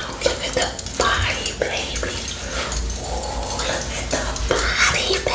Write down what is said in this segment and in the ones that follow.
Look at the body, baby. look at the body, baby.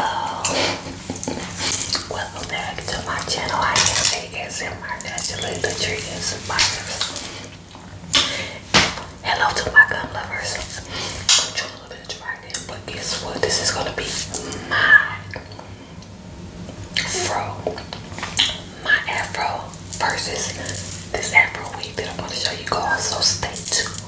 Oh. welcome back to my channel. I am the Naturally Nutrition Survivors. Hello to my gum lovers. I'm trying a to right in, but guess what? This is gonna be my fro, my afro versus this afro wig that I'm gonna show you guys. So stay tuned.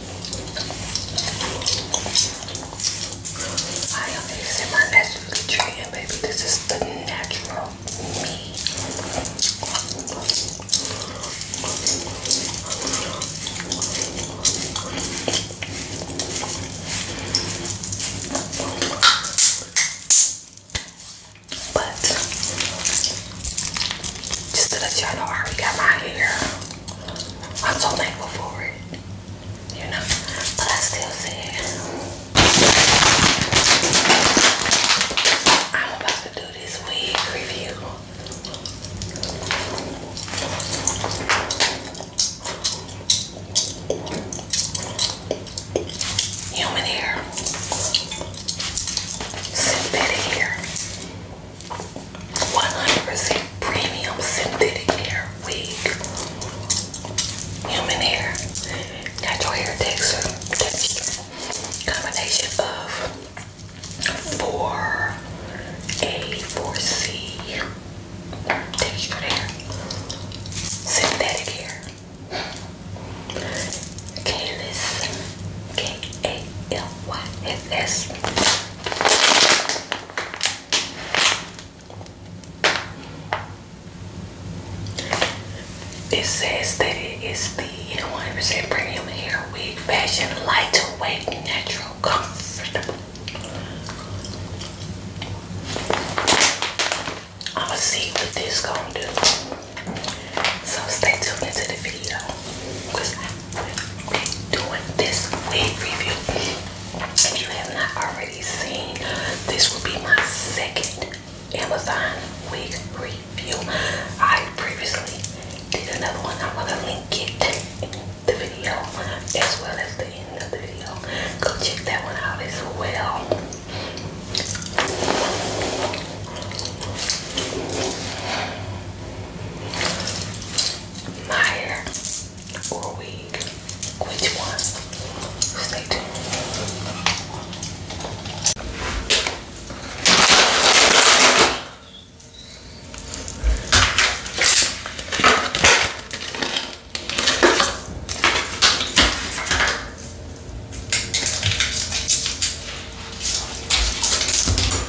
I am using my natural nutrient, baby. This is the natural me. But just to let y'all know, I my hair. I'm so thankful for it, you know. But I still see it. I'm about to do this wig review. Human hair, synthetic hair. 100% premium synthetic hair wig. Human hair. Natural hair texture. Combination of 4A, 4C textured hair. Synthetic hair. Kalis. K-A-L-Y-S-S. It says that it is the 100% premium hair wig fashion, lightweight, natural, comfortable. I'ma see what this gonna do. So stay tuned into the video doing this wig review. If you have not already seen, this will be my second Amazon wig review. I previously did another one. I'm gonna link it in the video as well as the end of the video. Go check that one out as well. Meyer, or Weed? Which one? Stay tuned.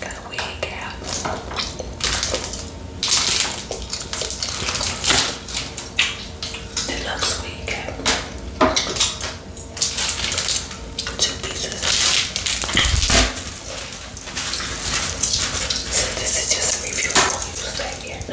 got a wig out. Deluxe wig out. Two pieces. So this is just a review. I won't use that yet.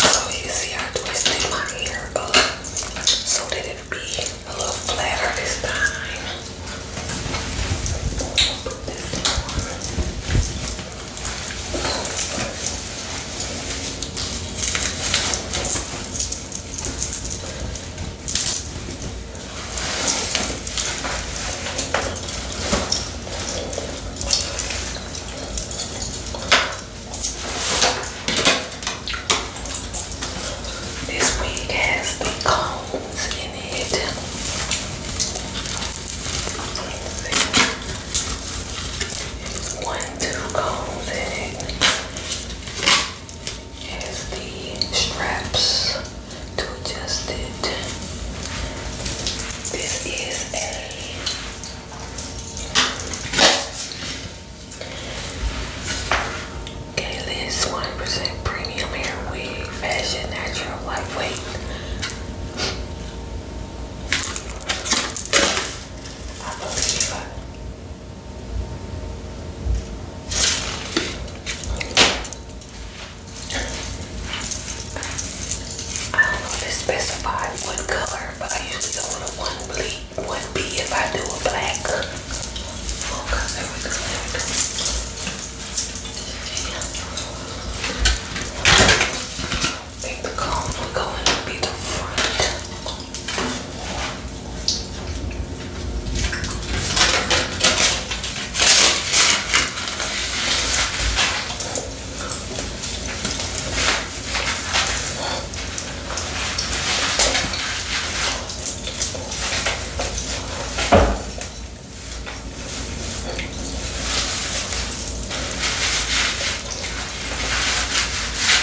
So you see I twisted my hair up so that it be a little flatter this time. This wig has the in it one two combs in it has the straps to adjust it. This is a Galen's 100 premium hair wig, fashion, natural, lightweight. I believe I I don't know if it specifies what color, but I usually go with a one bleed, one B if I do a black think the column will go in and be the front.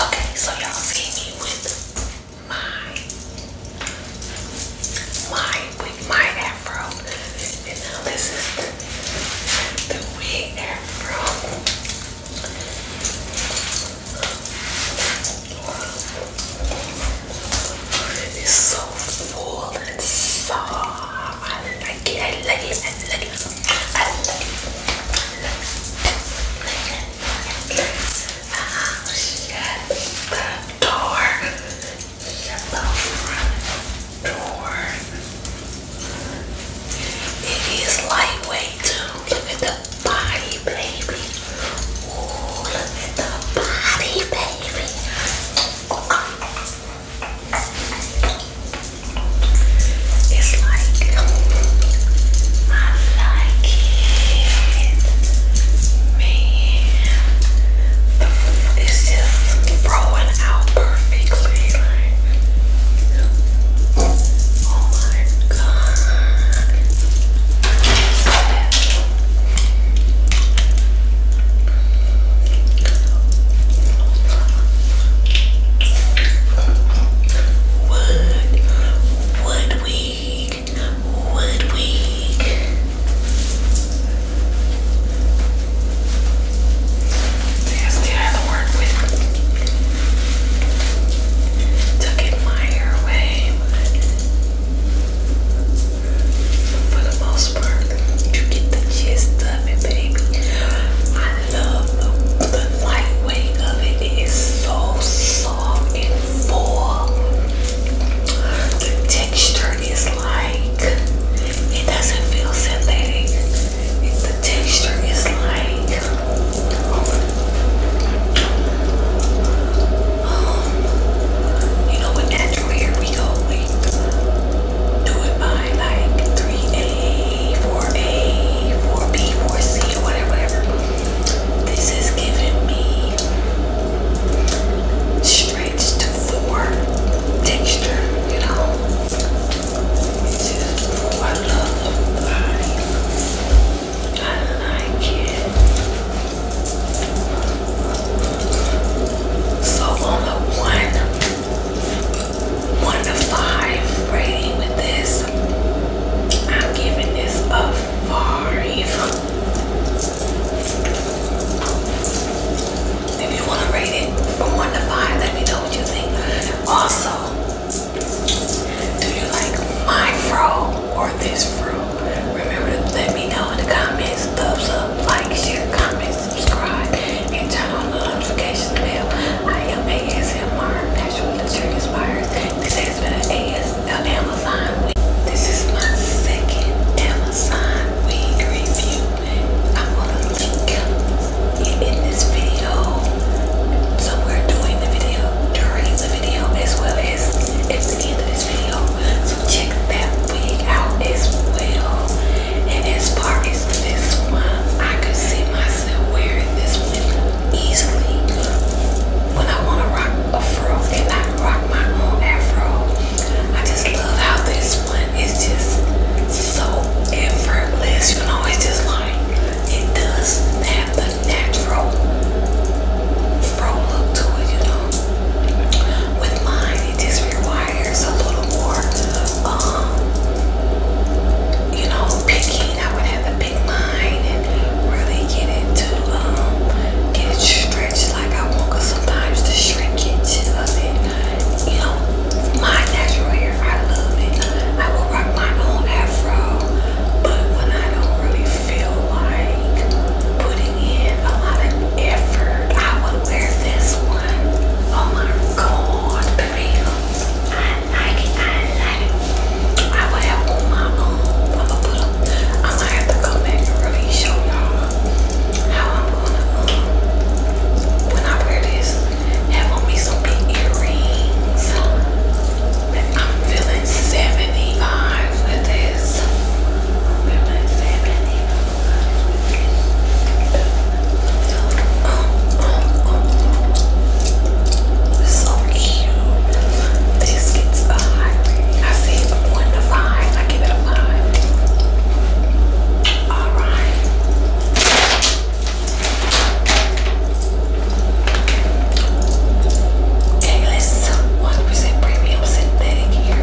okay. So y'all see me with my my with my afro, and now this is the, the wig afro. It's so full and soft. I like it, I like it, I like it, shut the door. Shut the front door. It is lightweight too. Look at the body, baby. Ooh, look at the body, baby. It's like I like it, man. It's just growing out perfectly. oh my god. Wood, Woodwig, Woodwig. There's the other word with. Took it my airway, but for the most smart. You get the gist of it, baby. I love the, lightweight of it. It is so soft and full. The texture is like it doesn't feel synthetic. The texture is like um, you know what natural we go do it by like 3A, 4A, 4B, 4C, or whatever, whatever. This is giving me stretched four texture, you know. oh, I love life. I like it. So on the one one to five rating with this. I'm giving this a five. If you want to rate it from 1 to 5, let me know what you think. Also, do you like my fro or this fro? Remember to let me know in the comments. Thumbs up, like, share, comment, subscribe, and turn on the notification bell. I am ASMR, Natural Literature Inspires. This has been an AS, Amazon week. This is my second Amazon week review. I'm going to link it in this video. So we're doing the video during the video as well as at the end of this video check that wig out as well. And as far as this one, I could see myself wearing this one easily when I want to rock a fro and not rock my own afro. I just love how this one is just so effortless. You know, it's just like it does have the natural fro look to it, you know. With mine, it just requires desires a little more, um, you know, picking. I would have to pick mine and really get it to um, get it stretched like I want. Cause sometimes the shrinkage it, you know, my natural hair, I love it, I will rock my own afro. But when I don't really feel like putting a lot of effort. I would wear this one. Oh my god, baby. I like it. I like it. I would have on my own. I'm gonna put them. I might have to go back and really show y'all how I'm gonna um when I wear this. Have on me some big earrings. I'm feeling 75 with this. feeling 75 oh, oh. So cute. This gets a high I say one to five. I give it a five. All right. Okay, let's 1% premium synthetic hair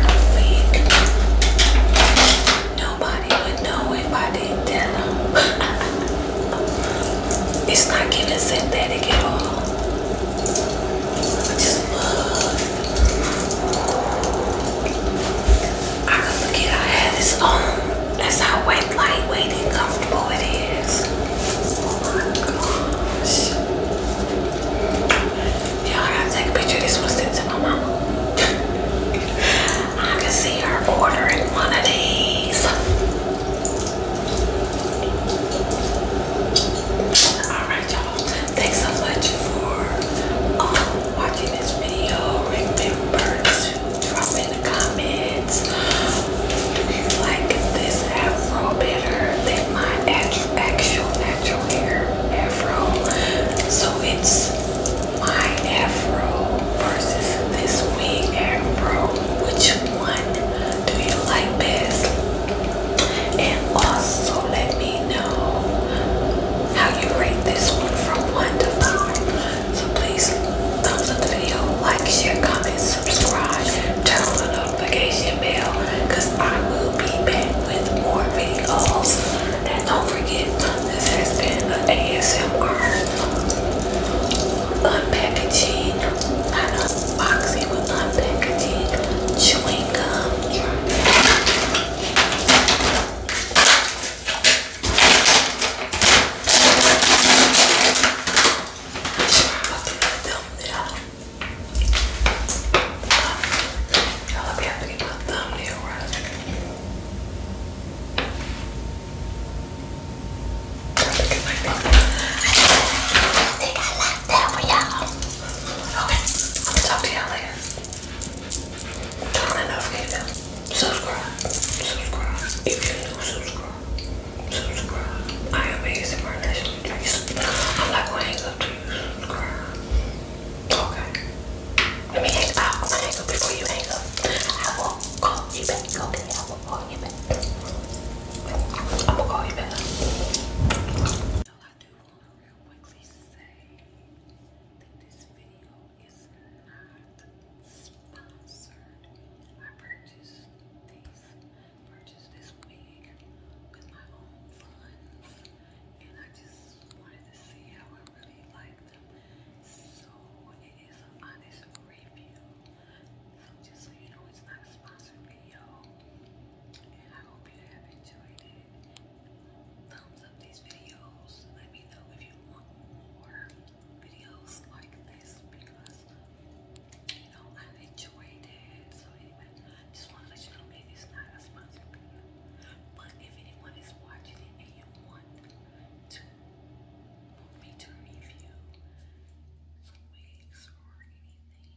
Nobody would know if I didn't tell them. it's not giving synthetic at all. I just love. I could forget I had this on. That's how lightweight and comfortable it is. Oh my gosh. Y'all gotta take a picture this one sent to my mama. I can see her ordering one of these. Alright y'all, thanks so much for um, watching this video. Remember to drop in the comments if you like this afro better than my actual natural hair afro. So it's my afro versus this wig afro. Which one do you like best? And also let me know how you rate this one from 1 to 5. So please thumbs up the video, like, share, comment, subscribe, turn on the notification bell because I will be back with more videos. And don't forget, this has been an ASMR unpackaging, unboxing, but unpackaging chewing gum. Try. I hope you have to get my thumbnail right. I'm looking like I think I left that for y'all. Okay, I'm gonna talk to y'all later. Turn that notification. Subscribe. Subscribe. If you're new, subscribe. Subscribe. I am amazing for national I'm like, wait. Okay. Let me hang up. I hang up before you hang up. I will call you back. Okay, I will call you call you back. So I do want to quickly say that this video is not sponsored. I purchased these purchased this wig with my own funds, and I just wanted to see how I really liked them. So it is an honest review. So just so you know, it's not a sponsored video, and I hope you have enjoyed it. Thumbs up these videos. Let me know if you want more videos like this because you know I enjoyed it. So anyway. Just want to let you know it is not a sponsored video. But if anyone is watching it and you want to want me to review some wigs or anything,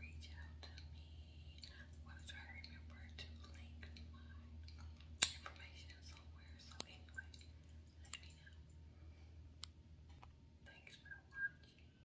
reach out to me. I'll to remember to link my information somewhere. So anyway, let me know. Thanks for watching.